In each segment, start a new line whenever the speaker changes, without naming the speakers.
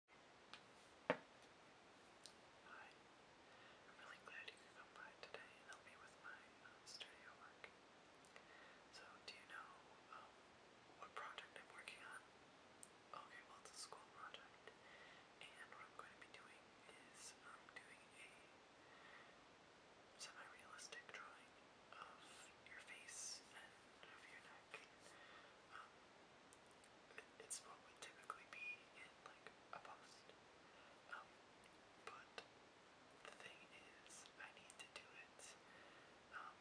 Hi. I'm really glad you could come by today and help me with my um, studio work. So, do you know um, what project I'm working on? Okay, well, it's a school project. And what I'm going to be doing is um, doing a semi-realistic drawing of your face and of your neck. Um, it's what would typically be in like a post. Um, but the thing is, I need to do it um,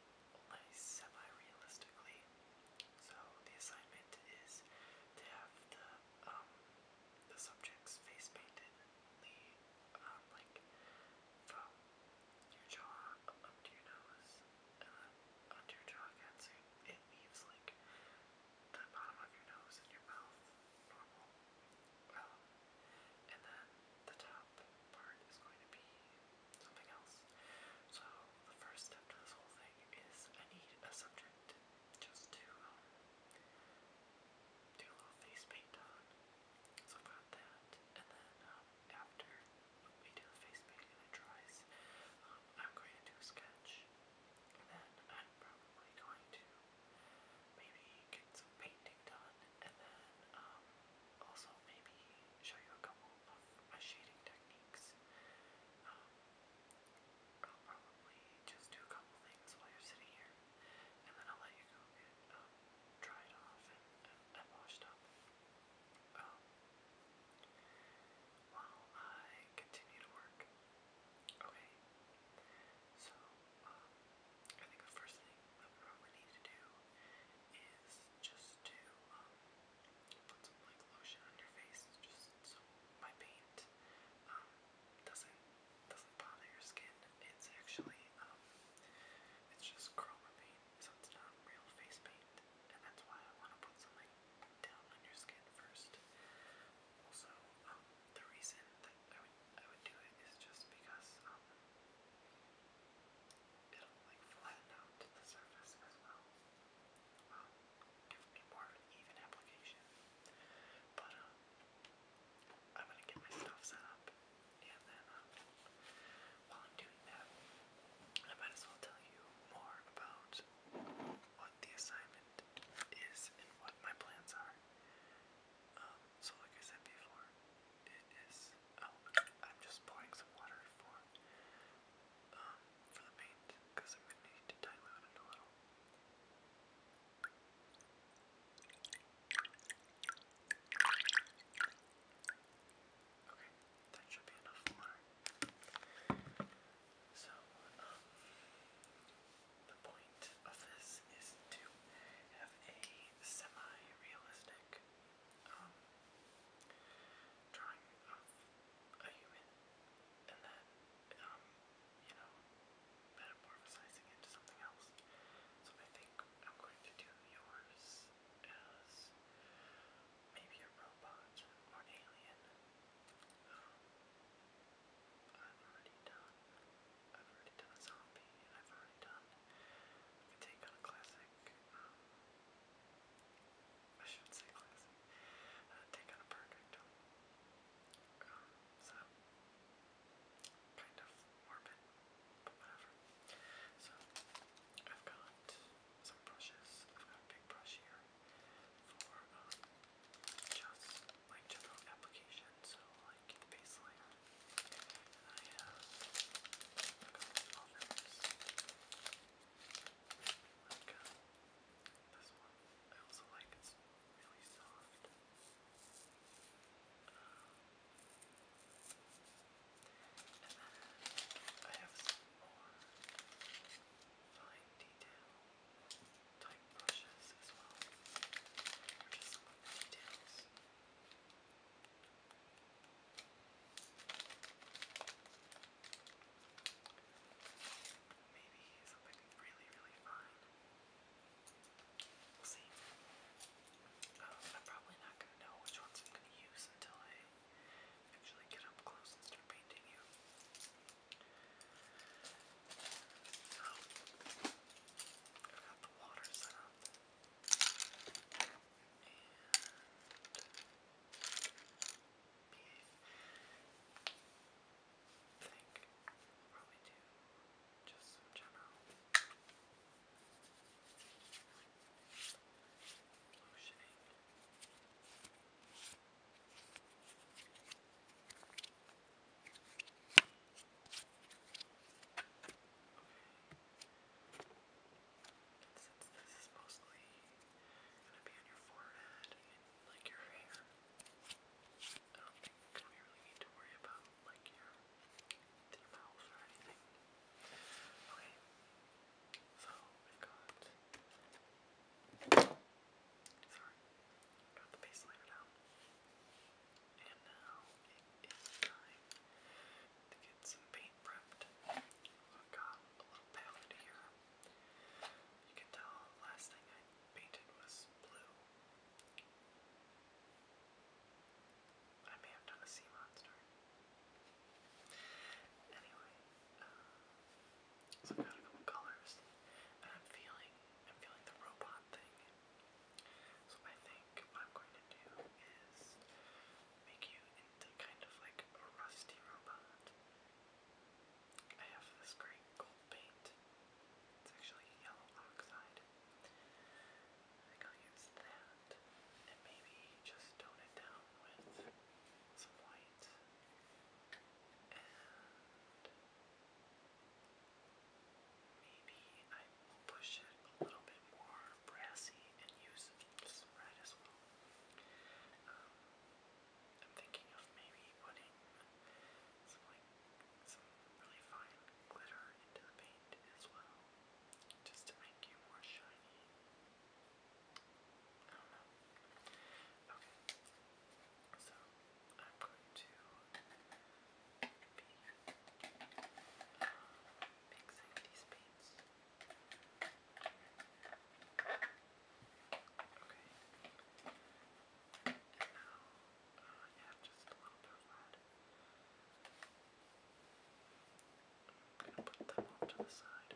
semi-realistically. So the assignment is to have the um, the subject's face painted, the um, like from your jaw up to your nose, uh, onto your jaw it leaves like the bottom of your nose and your mouth normal. Um, and then the top part is going to be something else. So the first step to this whole thing is I need a just to um, do a little face paint on. So I've got that, and then um, after um, I'm going to do a sketch, then I'm probably going to maybe get some painting done, and then um, also maybe show you a couple of my shading techniques. Um, I'll probably just do a couple things while you're sitting here, and then I'll let you go get dried off and washed up. Um, while I continue to work. Okay. So, um, I think the first thing that probably need to do is just to um, put some like lotion on your face, just so my paint um, doesn't doesn't bother your skin. It's actually it's just chroma paint, so it's not real face paint and that's why I want to put something down on your skin first. Also, um, the reason that I would I would do it is just because um, it'll like flatten out the surface as well. Um, give me more even application. But I'm gonna get my stuff set up, and then while I'm doing that, I might as well tell you more about what the assignment is and what my plans are. Um, so like I said before, it is, oh, I'm just pouring some water for, um, for the paint, because I'm going to need to dilute it a little. Okay, that should be enough So, um, the point of this is to have a semi-realistic um, drawing of a human, and then, um, you know, metamorphosizing into something else. So I think I'm going to do yours as maybe a robot or alien, I've already done. I've already done a zombie. I've already done a take on a classic. Um, I should say classic. Uh, take on a perfect. Um, so kind of morbid, but whatever. So I've got some brushes. I've got a big brush here for um, just like general application, so like the base layer. I have a couple others. Like um, this one. I also like it's really soft. and then I have some more fine fine type brushes as well. details. Maybe something really, really fun. We'll see. Um, I'm probably not going to know which ones I'm going to use until I actually get up close and start painting you. Oh, I got the water set up. And I think we'll probably do just some general lotioning. Just since this is mostly gonna be on your forehead and like your hair, I don't think we really need to worry about like your your mouth or anything. Okay, so we've got. Sorry, got the base layered out. And now it is time to get some paint prepped. got a little palette here. You can tell last thing I painted was blue. I may have done a sea monster. Anyway, uh, so I've got a couple colors, and I'm feeling, I'm feeling the robot thing. So I think what I'm going to do is make you into kind of like a rusty robot. I have this great gold paint. It's actually yellow oxide. I think use that and maybe just tone it down with some white maybe I will push it a little bit more brassy and use some red as well. Um, I'm thinking of maybe putting some like some really fine glitter into the paint as well, just to make you more shiny know. Okay. So I'm going to be mixing these paints. Okay. And now, uh, yeah, just a little bit red. I'm gonna put them to the side.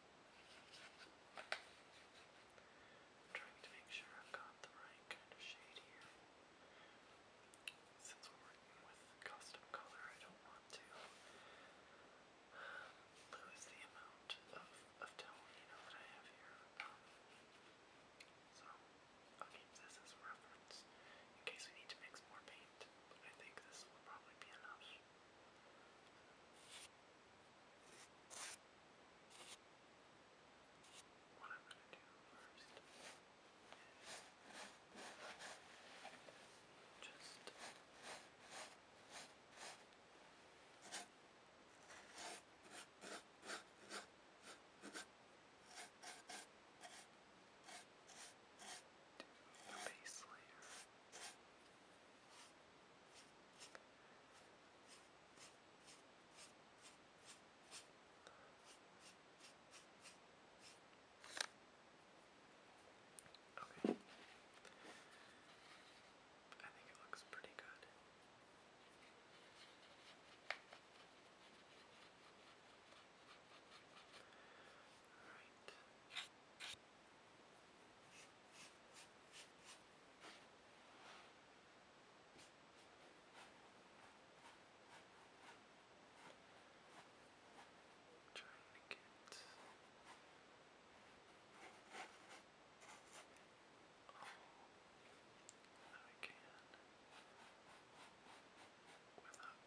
trying to make sure I've got the right kind of shade here. Since we're working with custom color, I don't want to um, lose the amount of, of tone, you know, that I have here. Um, so, I'll keep this as reference in case we need to mix more paint, I think this will probably be enough. What I'm going to do first is just do a base layer. And Okay. I think it looks pretty good. All right. Trying to get all I can without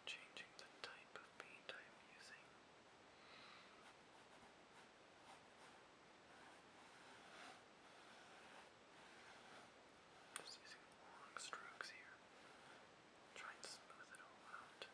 changing the type of paint I'm using. Just using long strokes here, trying to smooth it all out. Just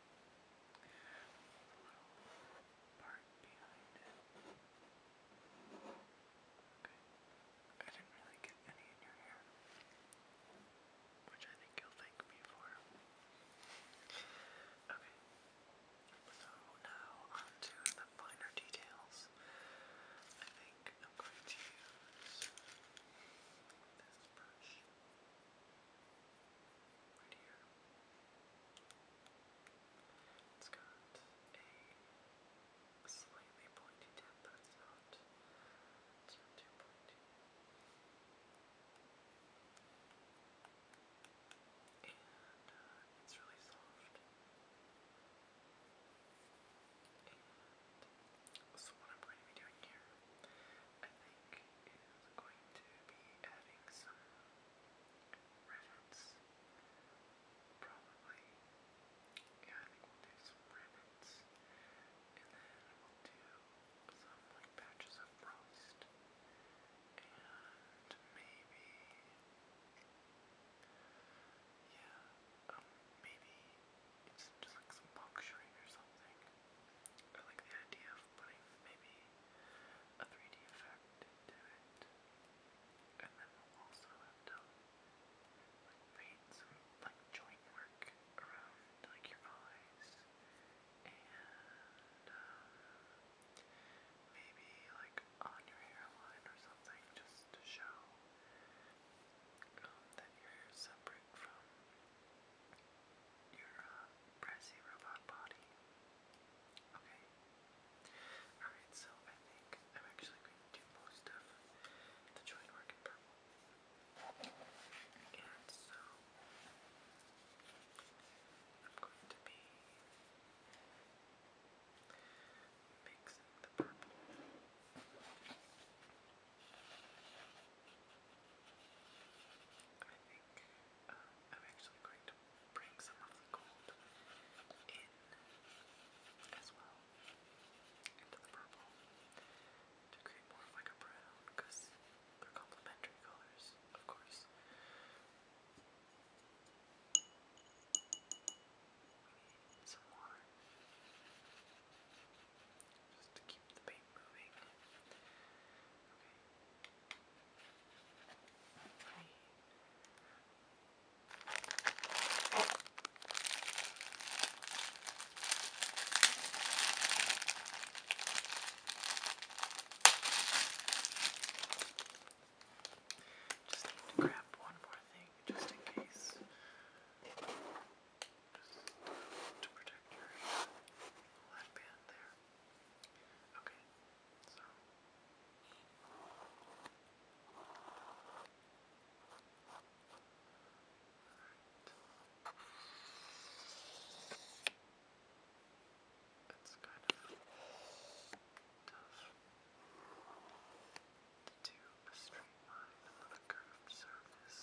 part I didn't really get any in your hair. Which I think you'll thank me Okay. So now on the finer details. I think I'm going to use this brush. It's got a slightly pointy tip, but it's not, too pointy. And uh, it's really soft. And so what I'm going to be doing here I think, is going to be adding some rivets. Probably. Yeah, we'll do some rivets. And then we'll do some like patches of frost. And maybe yeah, maybe it's just like some box or something. I like the idea of of maybe a 3D effect into it. And then we'll also have done like paint some like joint work around like your eyes and um, maybe like on your hairline or something just to show um, that you're separate from your uh, robot body. Okay. Alright, so I think I'm actually going to do most of the joint work in purple. And so I'm going to be mixing the purple. I think am actually going to bring some of the gold in as well into the purple to create more of because they're complementary colors, of course. We need some water just to keep the paint moving. Okay. Just need to grab one more thing just in case. Just to protect your headband there. Okay, so It's kind of tough to do a straight line on a curved surface.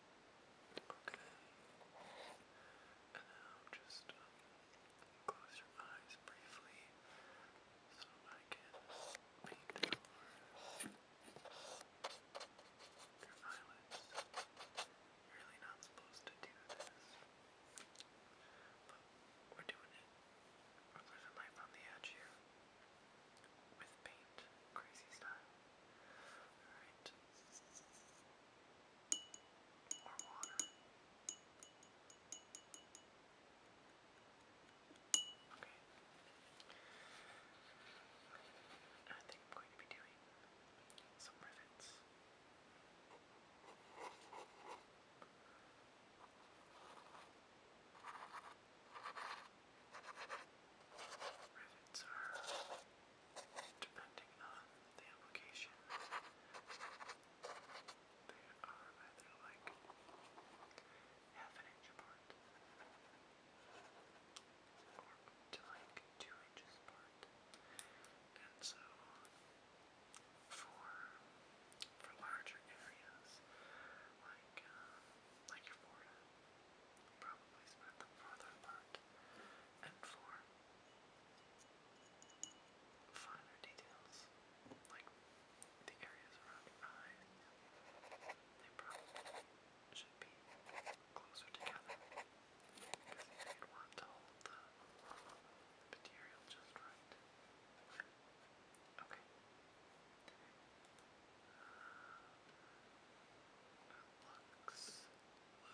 Okay. And now just close your eyes briefly so I can paint your eyelids. you really not supposed to do this. But we're doing it. We're living life on the edge here. With paint. Crazy style. Alright or water. Okay. And I think I'm going to be doing some rivets. Rivets are depending on the application, they are either like half an inch apart or to like two inches apart. And so for for larger areas like uh, like your probably spread them farther apart. And for finer details, like the areas around your eye, they probably should be closer together because you'd want to hold the material just right. Okay. Uh,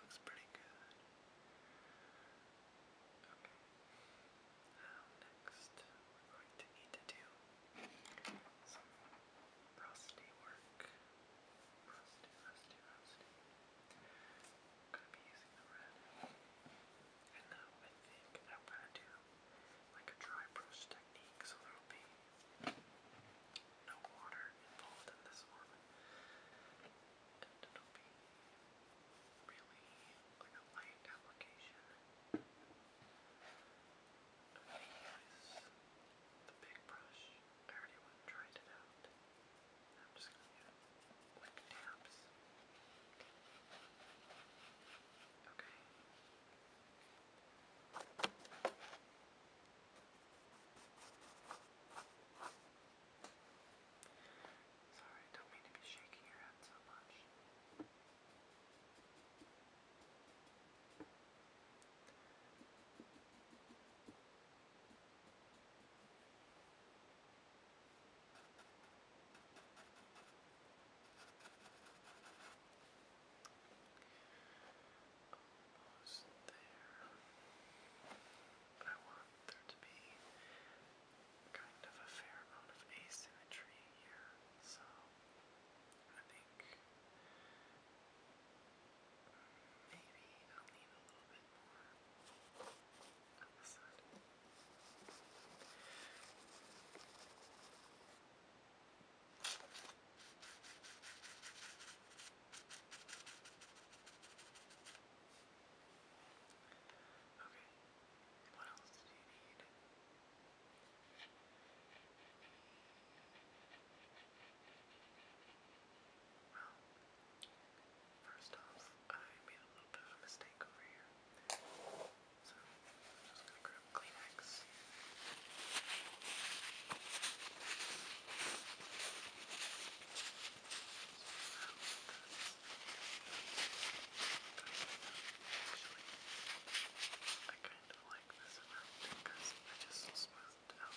Looks pretty good. Okay. Um, now, next, we're going to need to do some rusty work. Rusty, rusty, rusty. going to be using the red. And now I think I'm going to do like a dry brush technique so there'll be no water involved in this one. And it'll be really like a light application. I'm gonna use the big brush. I already went and tried it out. I'm just gonna do quick taps. Okay. Okay, Sorry, I don't mean to be shaking your head so much almost there. But I want there to be kind of a fair amount of asymmetry here, so I think maybe I'll leave a little bit more on the side. Okay, what else do you need? Well, first off, I made a little bit of a mistake over here. So, I'm just gonna grab Kleenex. Okay. I kind of like this amount because it just smoothed out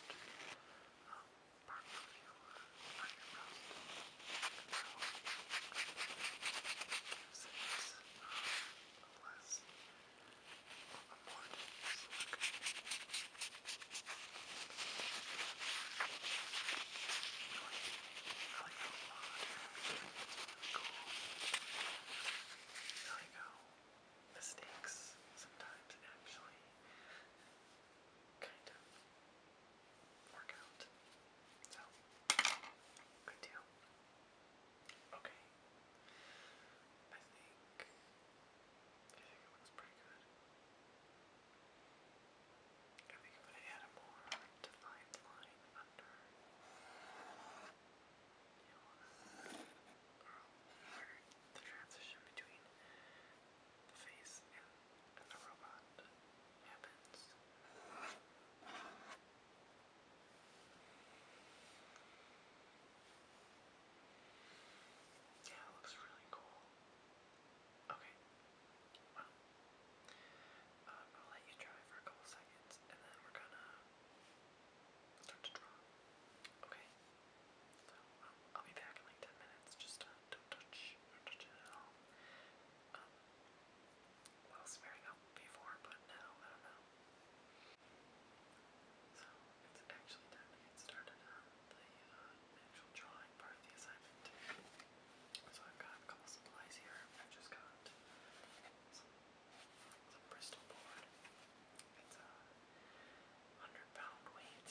um, part of your eyebrows. And so it gives it um, a less, a more dense look. There you go. Mistakes sometimes actually kind of work out. So, good deal. Okay. I think. I think it looks pretty good. I and we going to add a more defined line under you know, or the transition between the face and, and the robot happens. Yeah, it looks really cool. I Okay. Well, um, I'll let you try for a couple seconds, and then we're gonna start to draw. Okay. So um, I'll be back in like ten minutes. Just uh, don't touch, don't touch it at all. Um, well, swearing up before, but now I don't know. So it's actually time to get started the uh, actual drawing part of the assignment. So I've got a couple supplies here. I've just got some Bristol board. It's a hundred pound weight.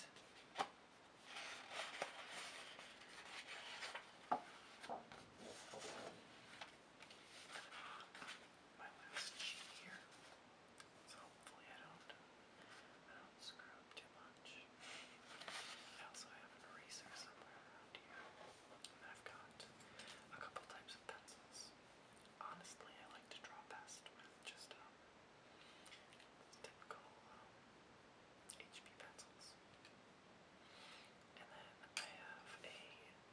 My last sheet here. So hopefully I don't I don't screw too much. I also have an eraser somewhere around here. I've got a couple types of pencils. Honestly, I like to draw best with just um, typical um, pencils. And then I have a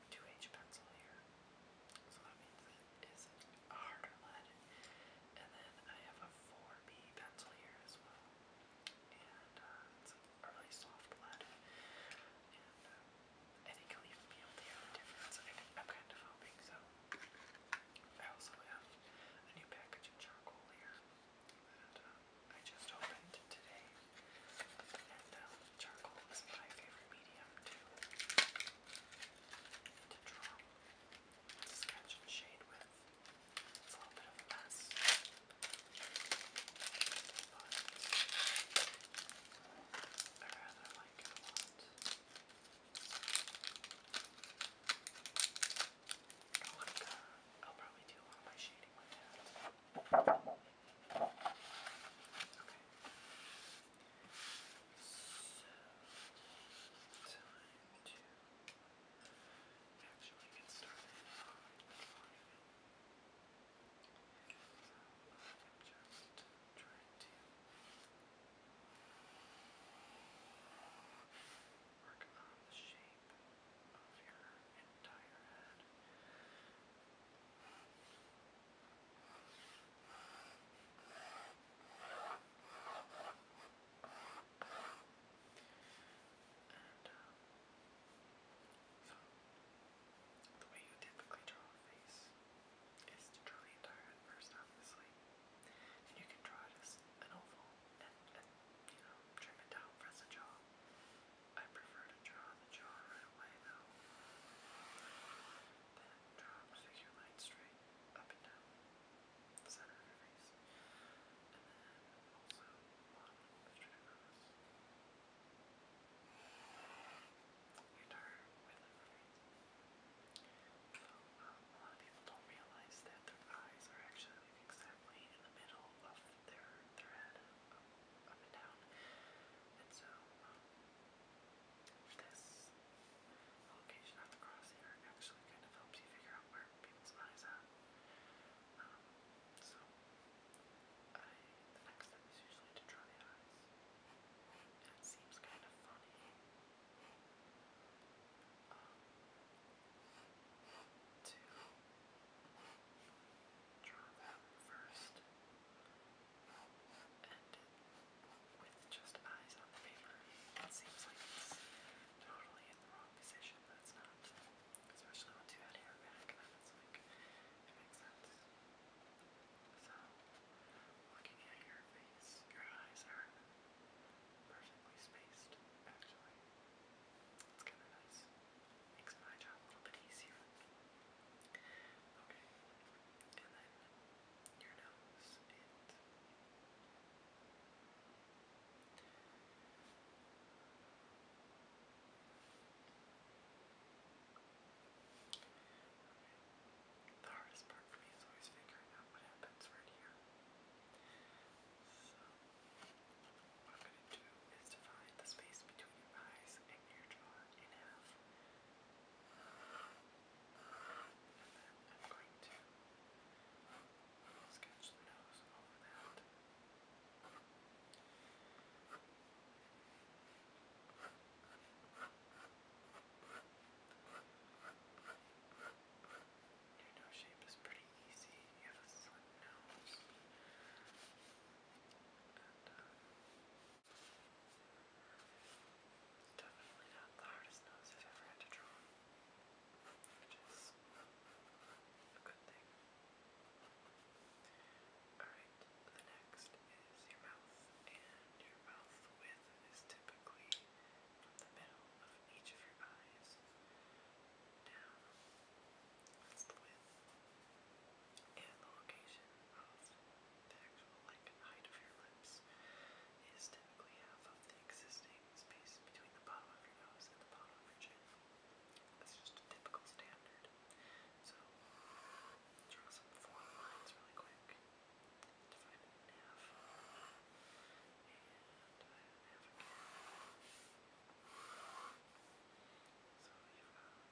2H pencil here. So that means it is a harder lead. And then I have a 4B pencil here as well. And uh, it's a really soft lead. And uh, I think you the difference. I, am kind of hoping so. I also have a new package of charcoal here that uh, I just opened today. And uh, charcoal is my favorite medium to, to draw, sketch, and shade with. It's a little bit of a mess. But I rather like it a lot. One of the, I'll probably do one of my shading with that. Okay. So, time to. Put actually get started. I'm just trying to work on the shape of your entire head. Just and, uh, the way you typically draw a face is to draw the entire head first, obviously. you can draw it an oval and, you know, trim it down for the jaw. I prefer to draw the jaw right away though. Then draw a figure line straight up and down the center of your face. And then also on straight across. The entire width of your face. So, um, a lot of people don't realize that their eyes are actually exactly in the middle of their, their head, up, up and down. And so, um, this location of the crosshair actually kind of helps you figure out where people's eyes are. Um, so, I, the next step is usually to draw the eyes. And it seems kind of funny. Um, to draw them first and with just eyes on the paper. It seems like it's totally in the wrong wrong you looking at your face, your eyes are perfectly spaced, actually. It's kind of nice. Makes my job a little bit easier. Okay, and then your nose, the hardest part for me is always figuring out what happens right here. So, what I'm going to do is divide the space between your eyes and your jaw in half. Sketch the nose over that. Your nose shape is pretty easy. You have a slim nose. And, uh, it's definitely not the hardest nose I've ever had to draw which is the next is your mouth, and your mouth width is typically the middle of each of your eyes down. That's the width. And the location of the actual height of your lips is typically half of the existing creating space between the bottom of your nose and the bottom of your chin. That's just a typical standard. So, draw some form lines really quick. Divide it in half. And divide it in half again.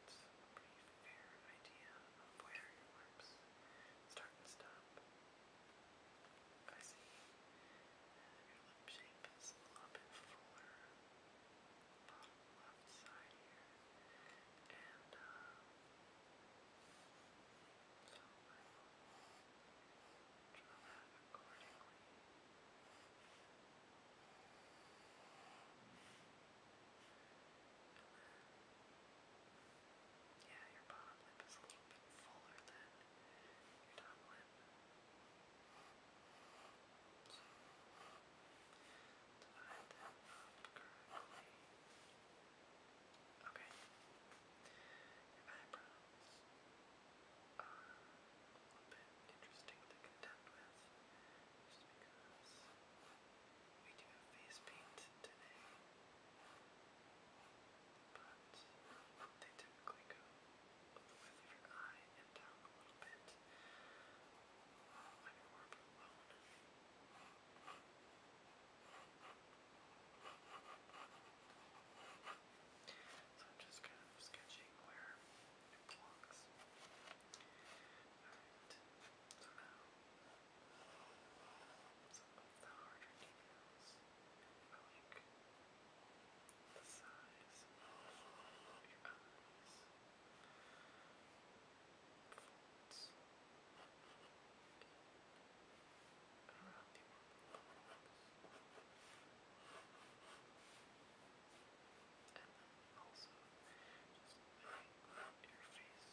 So you've got a pretty fair idea of where your lips start and stop. And I see your lip shape is a little bit fuller bottom left side here. And uh so accordingly. Yeah, your bottom lip is a little bit fuller than your top lip. Divide that Okay. Your eyebrows are a little bit interesting to contend with just because we do have face paint today. But they typically go up the width of your eye and down a little bit uh, on your orb alone. So I'm just kind of sketching where it belongs. Alright, so now some of the harder details are like the size of your eyes folds around the and then also just make your face creases.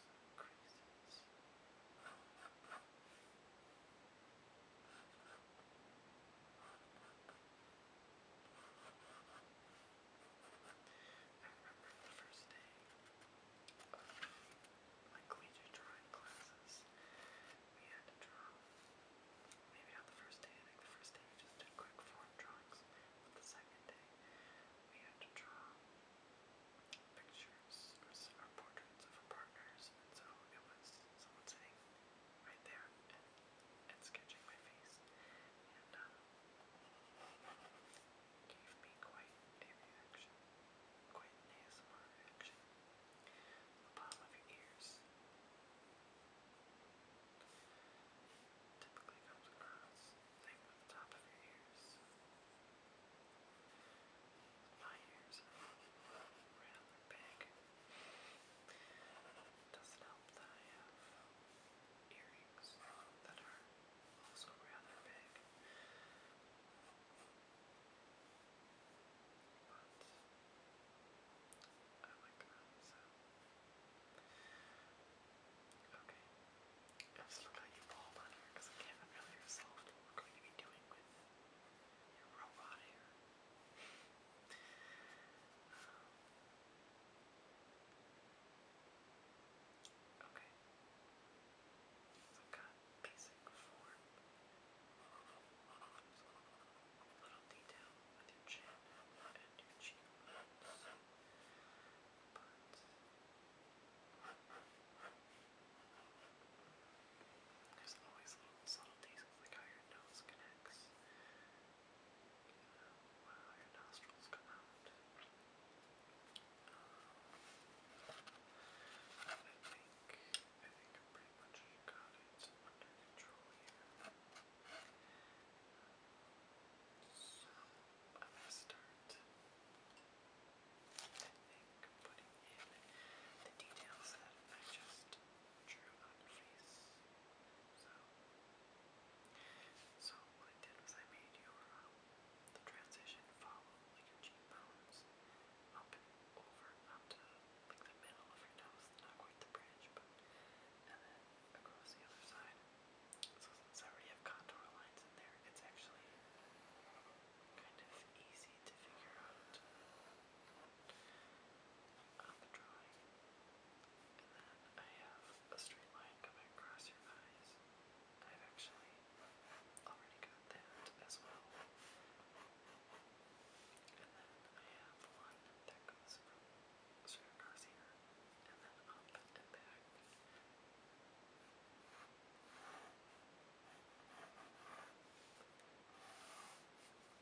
Around the I remember the first day of my collegiate drawing classes. We had to draw, maybe not the first day, I the first day we just did quick form drawings, but the second day we had to draw pictures or, portraits of our partners, so it was someone sitting right there and sketching my face, and um, gave me quite ASMR reaction. The bottom of your ears typically comes across, same with the top of your ears. My ears are rather big. It doesn't help that I have earrings that are also rather big. But I like them, so. Okay. just looked at you bald on here because I can really resolve what we're going to be doing with your robot hair. Okay. i got basic form. Little detail with your chin and your But there's always little subtleties like your nose connects, you your nostrils come out. I think, I think pretty much got it under control here. So, I'm gonna start, I think, putting in the details that I just drew on So, what I did was I made your um, the transition follow like your cheekbones up over up to like the middle of your nose, not quite the bridge, but and then across the other side. So since I have contour lines in there, it's actually kind of easy to figure out on the drawing. And then I have a straight line coming across your eyes. I've actually already got that as well. And then I have one that goes from straight across here and then up and back.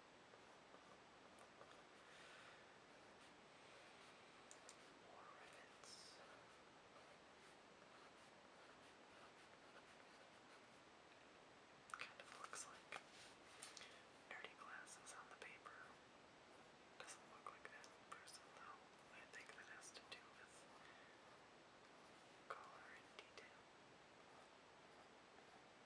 More rivets. Kind of looks like dirty glasses on the paper. Doesn't look like that person though. I think that has to do with color and detail.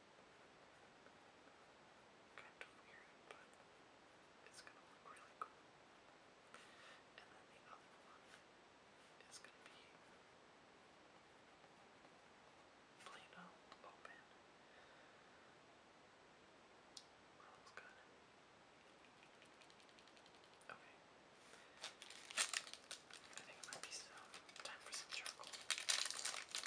Kind of weird, but it's going to look really cool. And then the other one is going to be Plano open. That looks good. Okay. I think it might be time for some charcoal. I think I'm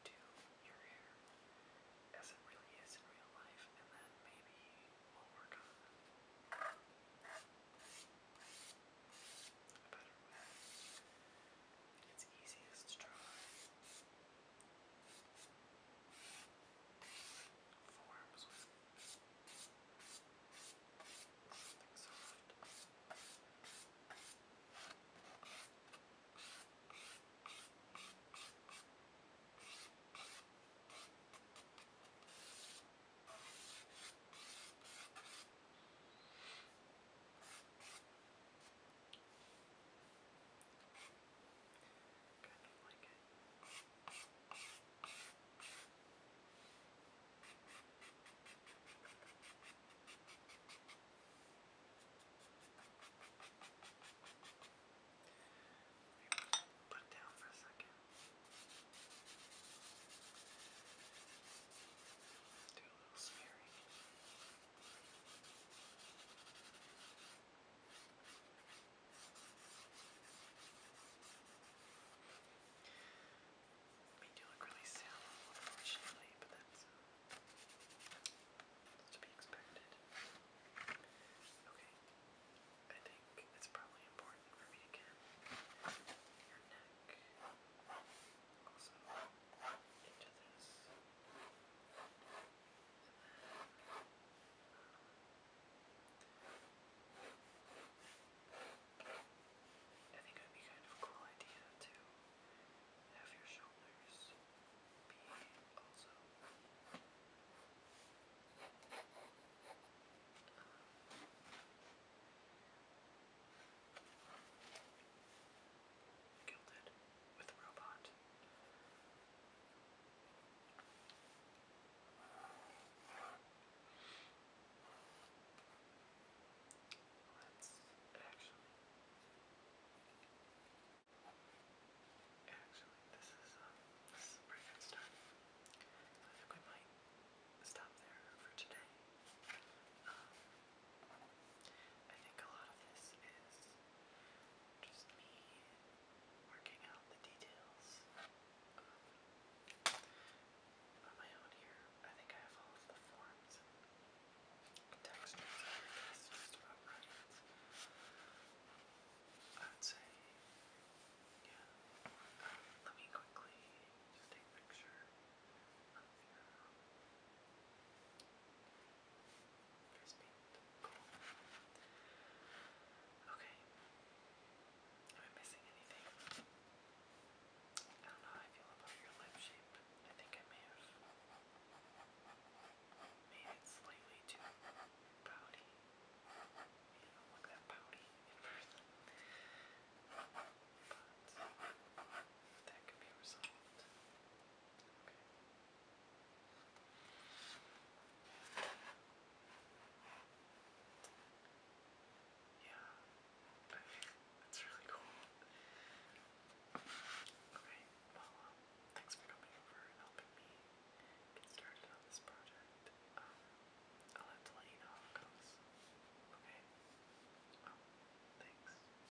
do your hair as it really is in real life, and then maybe we'll work on a better way. It's easiest to draw. Forms with something soft. It's Kind of like it. Put it down for a second. Do a little smearing. We do look really sallow, unfortunately, but that's to be expected. Okay, I think it's probably important for me to your neck also into this. I think it would be kind of a cool idea to have your shoulders be also um, gilded with the Let's actually, actually, this is uh, a pretty start. I think we might stop there for today. Um, I think a lot of this is just me working out the details on my own here. I think I have all of the forms textures just about right. I would say, yeah. Um, let me quickly take a picture of your Crispy. Okay. Am I missing anything? I don't know how I feel about your lip shape. I think I may have made it slightly too pouty. You don't look that pouty in person. But that could be resolved. Yeah, that's really cool. Okay, well, um, thanks for coming over and helping me get started on this project. Um, I'll have to let you know how it goes. Okay? Um, thanks.